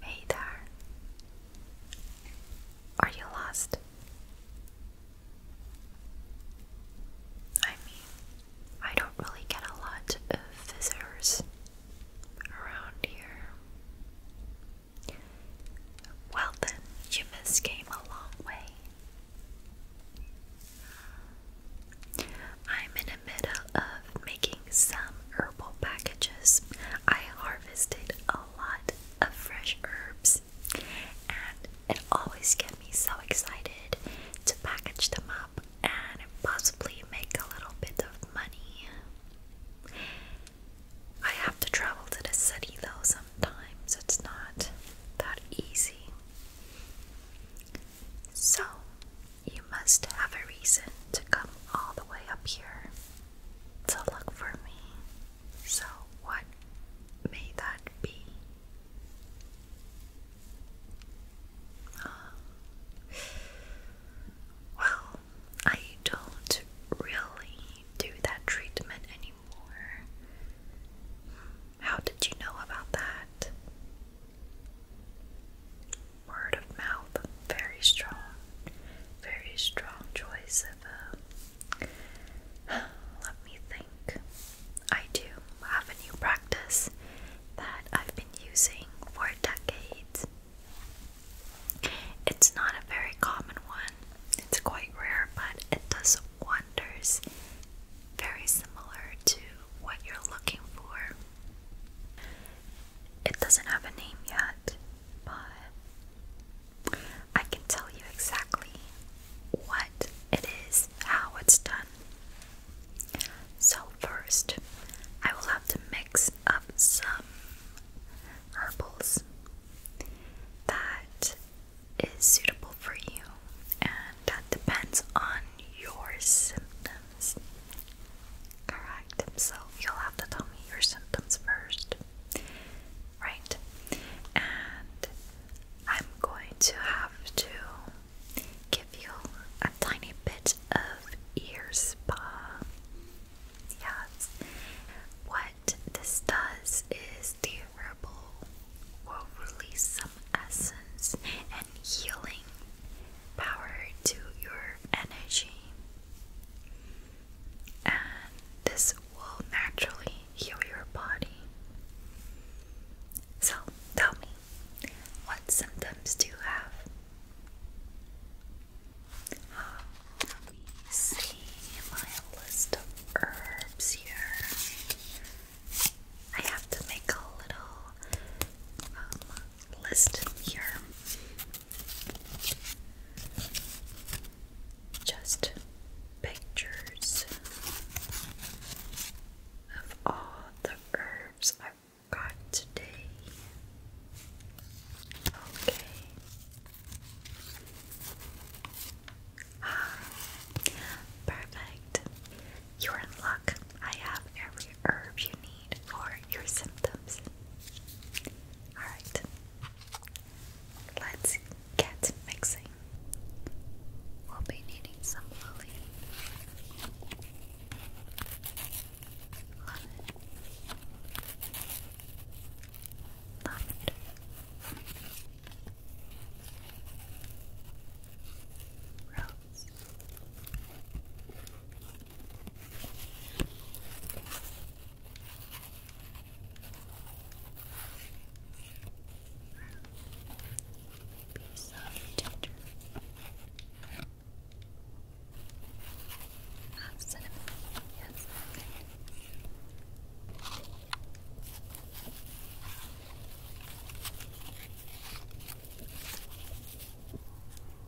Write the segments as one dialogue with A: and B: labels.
A: Hey there. Are you lost? I mean, I don't really get a lot of visitors around here. Well, then, you miss came a long way. I'm in the middle of love making some herbal packages. I harvested a lot of fresh herbs, and it always gets me so excited to package them up and possibly make a little bit of money. I have to travel to the city though, sometimes it's not that easy. So, you must have a reason to come all the way up here to look for me. So, what may that be? Um, well, I don't really do that treatment anymore. How did you know about that? word of mouth, very strong, very strong choice of. Uh, let me think. I do have a new practice that I've been using for decades. It's not a very common one, it's quite rare, but it does wonders. Very similar to what you're looking for. It doesn't have a name yet, but I can tell you exactly what it is, how it's done. So, first, I will have to mix up some herbals that is suitable for you, and that depends on your symptoms correct. So you'll have to tell me your symptoms first. Right? And I'm going to have to give you a tiny bit of ear spa. Yes. What this does is the herbal will release some essence and healing power to your energy, and this will naturally heal your body. So, tell me, what symptoms do you have? Let me see my list of herbs here. I have to make a little um, list here just pictures of all the herbs I've got today. Okay. Ah, perfect. You're in luck. I have every herb you need for your symptoms. Alright, let's get mixing. We'll be needing some lily, lemon, lavender, rose, piece of ginger. Ah, cinnamon. Yes, okay.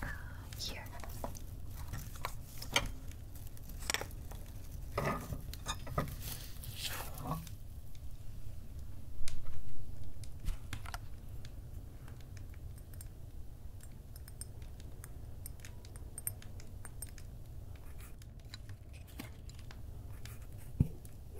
A: Uh, here.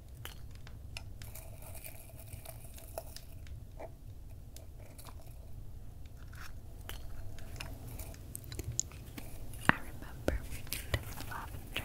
A: I remember we lavender.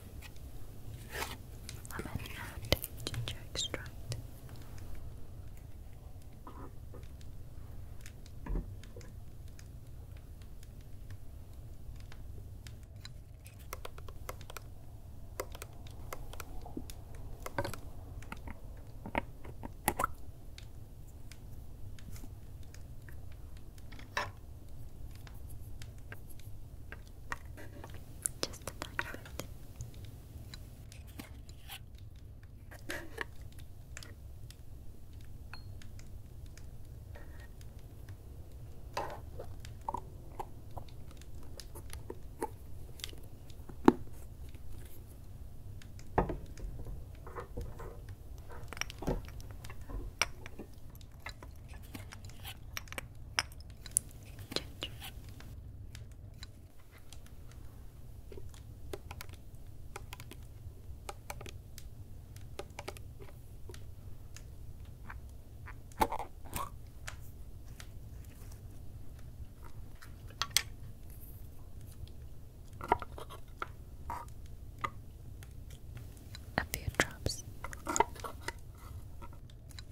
A: lemon and ginger extract. Just a tiny bit. Ginger. A few drops.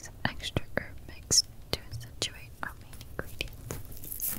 A: Some extra herb mixed to a what are my ingredients?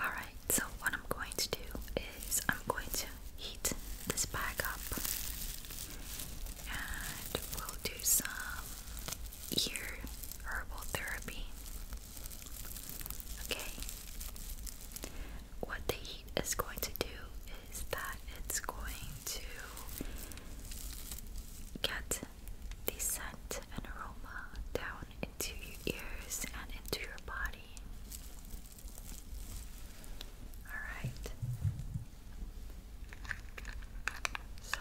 A: Alright, so what I'm going to do is I'm going to heat this bag up and we'll do some ear herbal therapy. Okay. What the heat is going to do is that it's going to get the scent and aroma down into your ears and into your body. Alright. So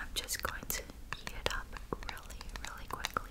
A: I'm just going to heat it up really, really quickly.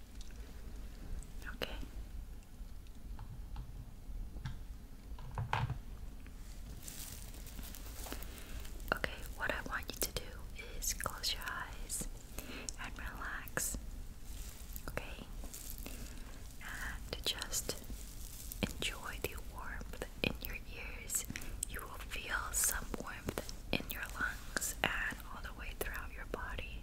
A: Okay. Okay, what I want you to do is close your eyes and relax. Okay? And just enjoy the warmth in your ears. You will feel some warmth in your lungs and all the way throughout your body.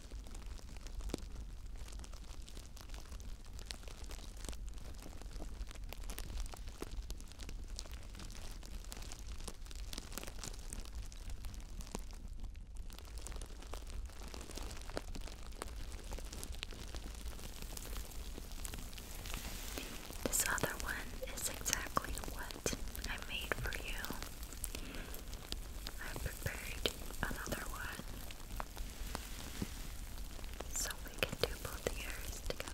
A: This other one is exactly what I made for you. I prepared another one so we can do both the ears together.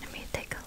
A: Let me take a look.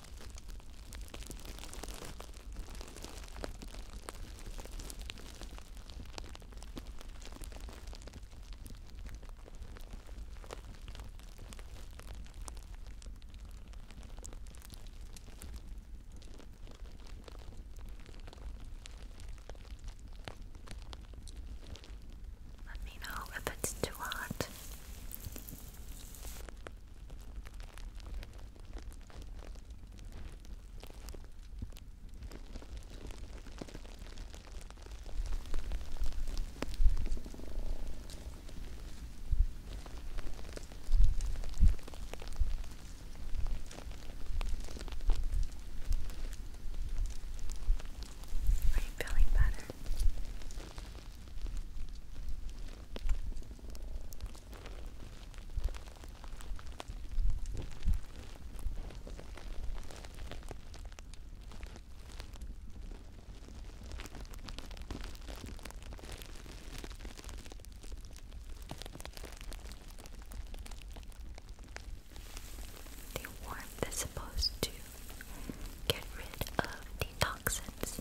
A: Let me know if it's too hot. Are you feeling better? The warmth is supposed to get rid of the toxins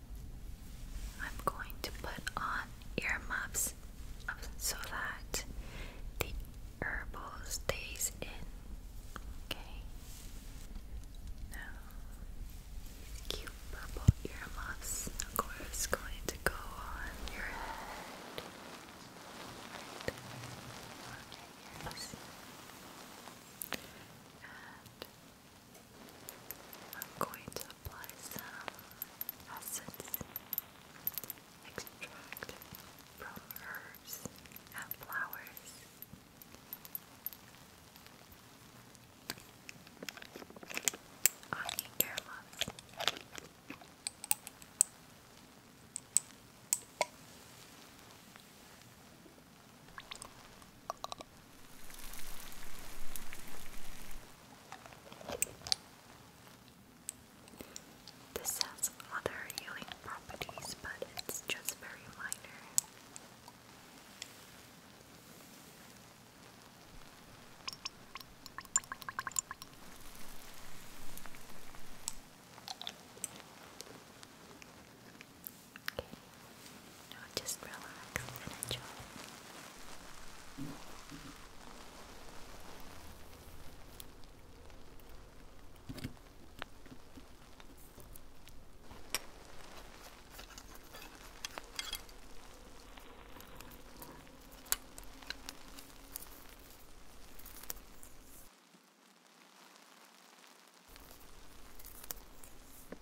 A: I'm going to put on ear muffs so that the herbal stays in. Okay. Now, cute purple earmuffs, of course, going to go on your head. I'm going to apply some acids extract from herbs and flowers. I need your love. This has other healing properties, but it's just very minor. Okay. No, just relax and enjoy.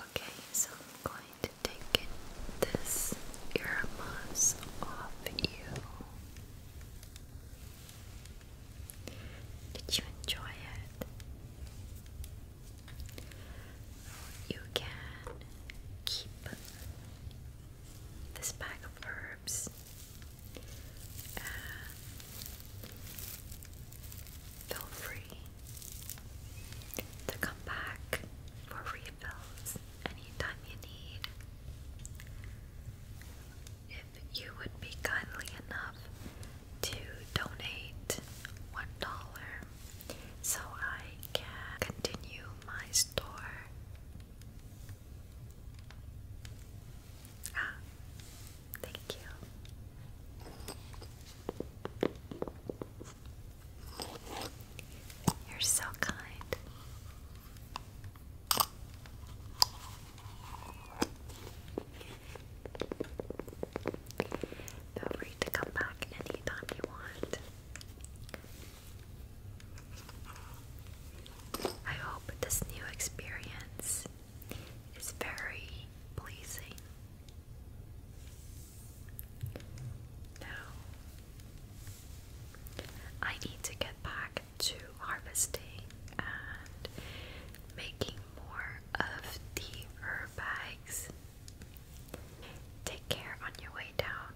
A: Okay, so I'm going to take this earmuffs off you. Did you enjoy it? You can keep this bag of herbs and feel free to come back for refills anytime you need. If you would be kindly enough to donate one dollar so I can continue my store. Ah, thank you. You're so kind. Feel free to come back anytime you want. I hope this new experience is very pleasing. Now, I need to get back to harvesting and making more of the herb bags. Take care on your way down.